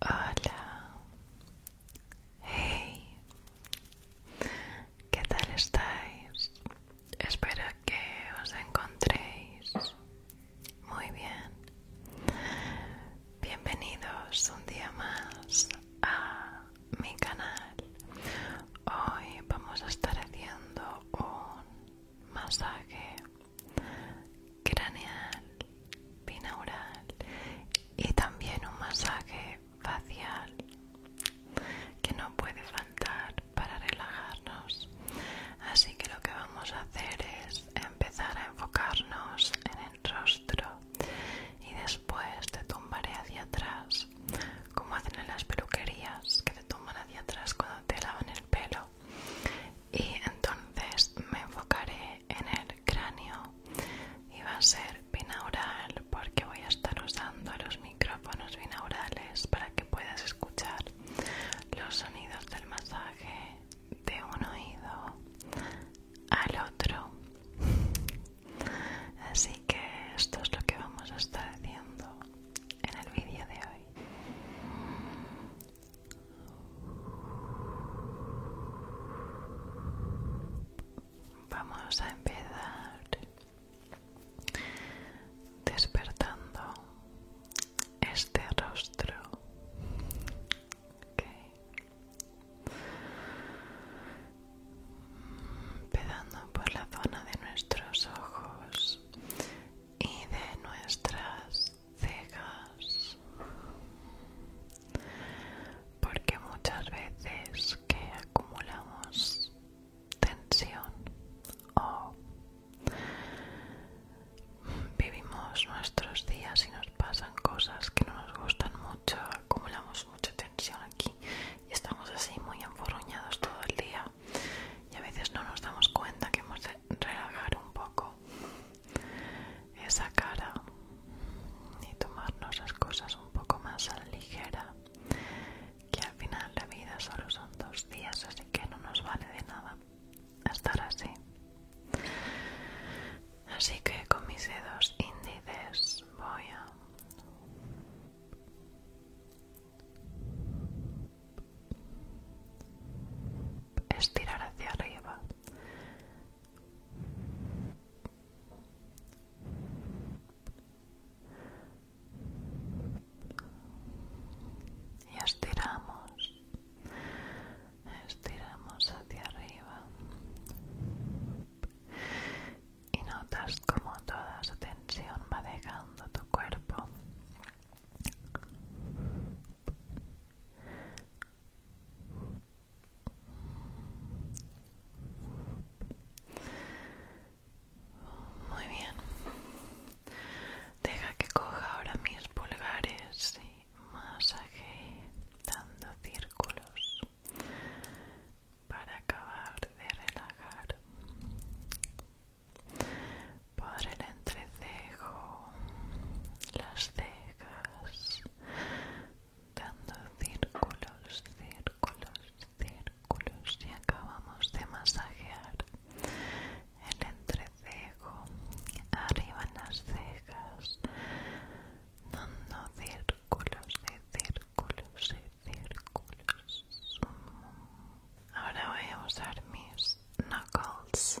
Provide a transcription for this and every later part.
Hola. Hey. ¿Qué tal estáis? Espero que os encontréis muy bien. Bienvenidos un día más a mi canal. Hoy vamos a estar haciendo un masaje craneal, binaural y también un masaje facial que no puede faltar para relajarnos. Así que lo que vamos a hacer es empezar a enfocarnos en el rostro y después te tumbaré hacia atrás, como hacen en las peluquerías que te tumban hacia atrás cuando te lavan el pelo y entonces me enfocaré en el cráneo y va a ser binaural porque voy a estar usando los micrófonos binaurales para que puedas escuchar los sonidos del masaje de un oído al otro así que esto es lo que vamos a estar haciendo en el vídeo de hoy Vamos a empezar despertando este rostro. por la zona de nuestros ojos y de nuestras cegas, porque muchas veces que acumulamos tensión o vivimos nuestros días y nos pasan cosas que no nos gustan mucho acumulamos mucha tensión aquí y estamos así muy enfurruñados todo el día y a veces no nos damos cuenta que hemos relajar un poco esa cara y tomarnos las cosas un poco más a la ligera que al final la vida solo son dos días así que no nos vale de nada estar así así que con mis dedos índices voy a estirar hacia arriba y estiramos estiramos hacia arriba y notas como toda esa tensión va dejando tu cuerpo muy bien. Deja que coja ahora mis pulgares y masaje dando círculos para acabar de relajar por el entrecejo, las cejas, dando círculos, círculos, círculos y acabamos de masajear el entrecejo, arriba en las cejas, dando círculos de círculos y círculos. Ahora voy a usar mis knuckles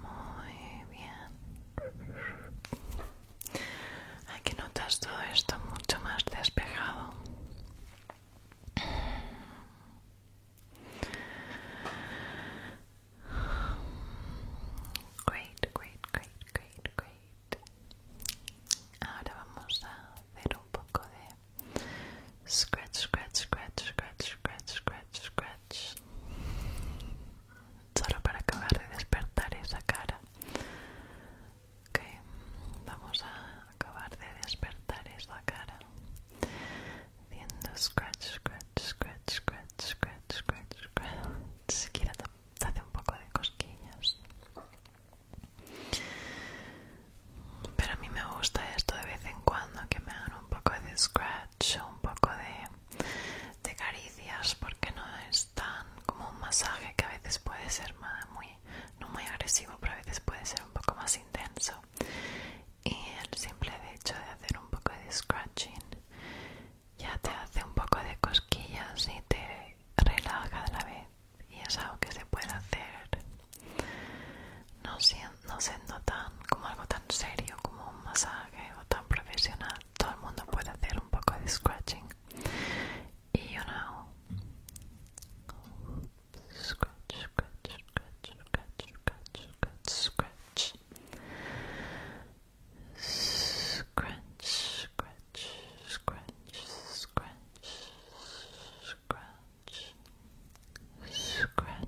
Muy bien. Aquí notas todo esto mucho más despejado. Great, great, great, great, great. Ahora vamos a hacer un poco de scratch, scratch, scratch, scratch, scratch, scratch, scratch solo para acabar de despertar esa cara ok vamos a acabar de despertar esa cara haciendo scratch scratch scratch scratch scratch scratch scratch siquiera hace un poco de cosquillas pero a mí me gusta esto de vez en cuando que me hagan un poco de scratch un poco de te caricias porque no es tan como un masaje que a veces puede ser más, muy, no muy agresivo, pero a veces puede ser un poco más intenso. Y el simple hecho de hacer un poco de scratching ya te hace un poco de cosquillas y te relaja a la vez. Y es algo que se puede hacer, no siento no siendo tan como algo tan serio como un masaje o tan profesional, todo el mundo puede hacer un poco de scratching. Y you know, scratch, scratch, scratch, scratch, scratch, scratch, scratch, scratch, scratch, scratch, scratch, scratch.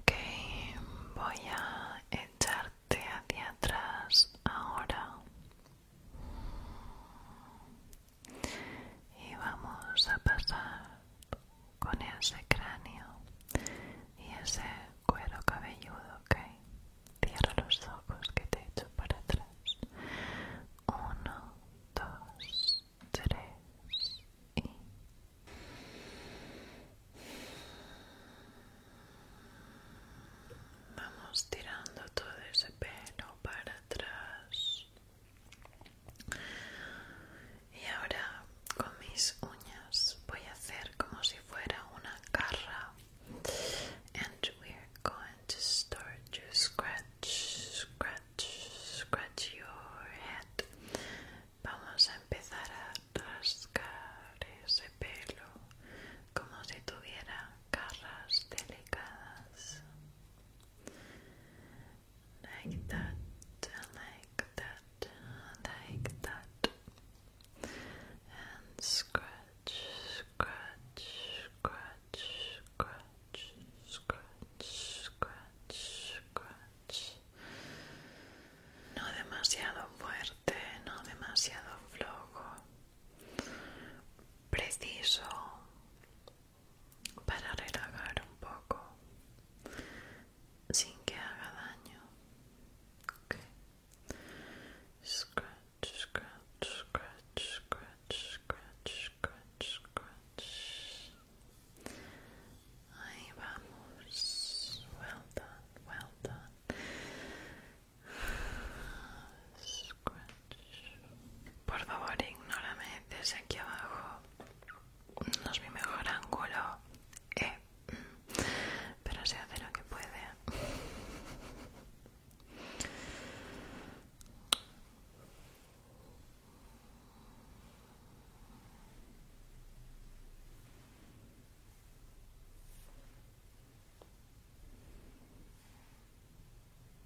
Okay, voy a echarte hacia atrás ahora y vamos a pasar con ese cráneo y ese cuero cabelludo, ok. Cierra los ojos que te echo para atrás. Uno, dos, tres y. Vamos tirando todo ese pelo para atrás. Y ahora con mis uñas voy a hacer como si fuera una carra. And we're going to start to scratch, scratch, scratch your head. Vamos a empezar a rascar ese pelo como si tuviera carras delicadas like that, like that, like that, and scratch, scratch, scratch, scratch, scratch, scratch, scratch. No demasiado fuerte, no demasiado flojo. Preciso, para relajar un poco sin que haga daño. Ok Scratch, scratch, scratch, scratch, scratch, scratch, scratch. Ahí vamos. Well done, well done. Scratch. Por favor, ignórame desde aquí abajo no es mi mejor ángulo, eh, pero se hace lo que puede.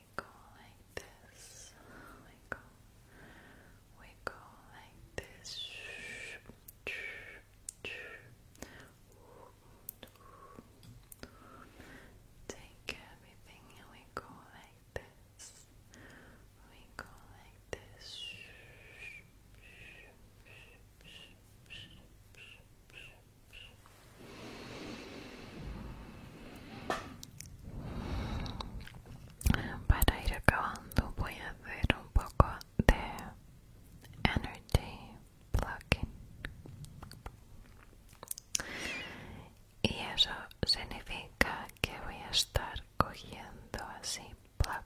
We go like this. We go. We go like this. Take everything and we go like this. We go like this. Para ir acabando voy a hacer un poco de energy plugging Y eso significa que voy a estar cogiendo así plug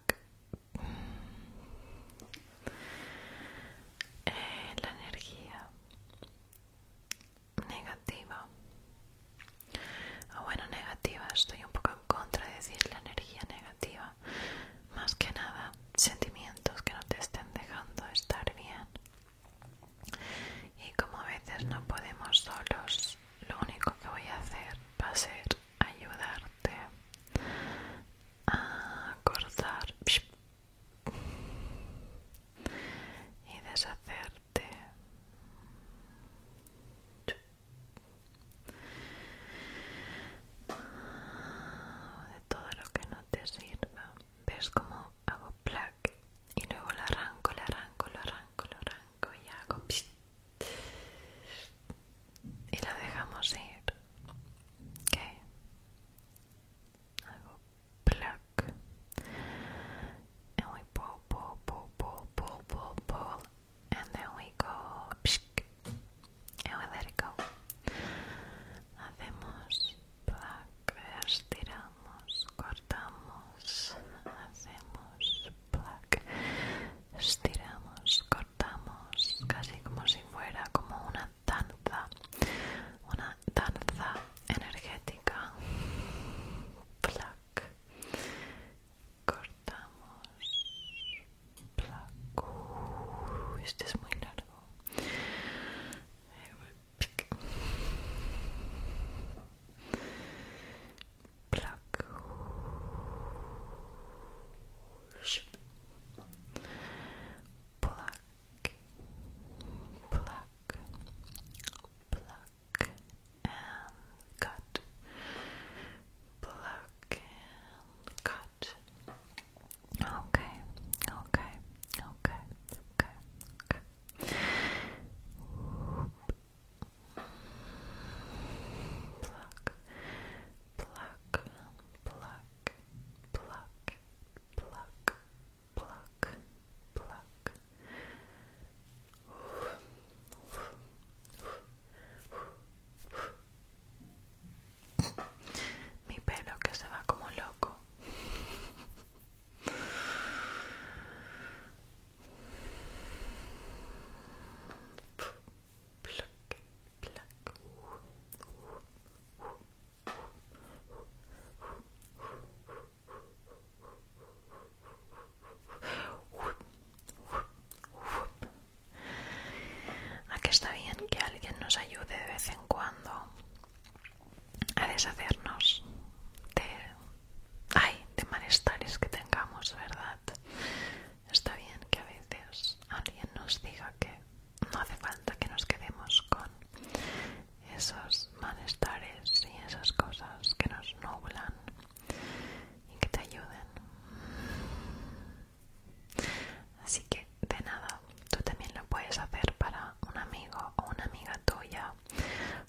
eh, la energía negativa o ah, bueno negativa estoy un poco en contra de decir la energía negativa más que nada sentimientos que no te estén dejando estar bien y como a veces no podemos solos lo único que voy a hacer va a ser ayudarte a cortar y deshacer de todo lo que no te sirva, ves como hago plug y luego lo arranco, lo arranco, lo arranco, lo arranco y hago y la dejamos ir. ¿Qué? Hago plug. and we pull, pull, pull, pull, pull, pull, pull, and then we go pshk, and we let it go. Hacemos plac, estiramos, cortamos, hacemos plac, estiramos, cortamos, casi como si fuera como una danza, una danza energética. Plac. Cortamos. Plac. este es muy largo. Plac. Plac. pluck, and cut, pluck and cut. Okay, okay, okay, okay, okay. pluck, pluck, pluck, pluck, pluck, pluck, pluck. Mi pelo que se va como loco. Pluck, pluck. Aquí está bien que alguien nos ayude de vez en cuando a deshacernos de, ay, de malestares que tengamos, ¿verdad? Está bien que a veces alguien nos diga que no hace falta que nos quedemos con esos malestares y esas cosas que nos nublan y que te ayuden. Así que de nada, tú también lo puedes hacer para un amigo o una amiga tuya,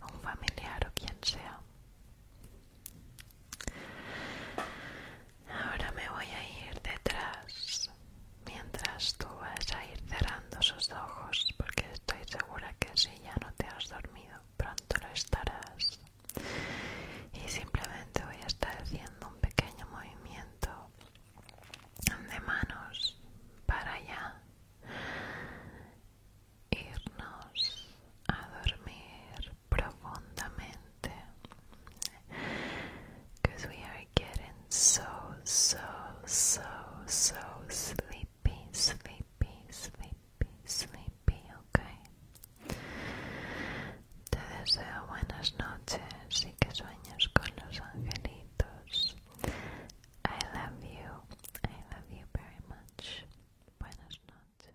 o un familiar o quien sea. Ahora me voy a ir detrás mientras tú vas a ir cerrando sus ojos porque estoy segura que si ya no te has dormido pronto lo estarás y simplemente voy a estar haciendo un pequeño movimiento de manos para allá irnos a dormir profundamente que getting so, so, so, so sleepy, sleepy, sleepy, sleepy, ok. Te deseo buenas noches y que sueñes con los angelitos. I love you, I love you very much. Buenas noches.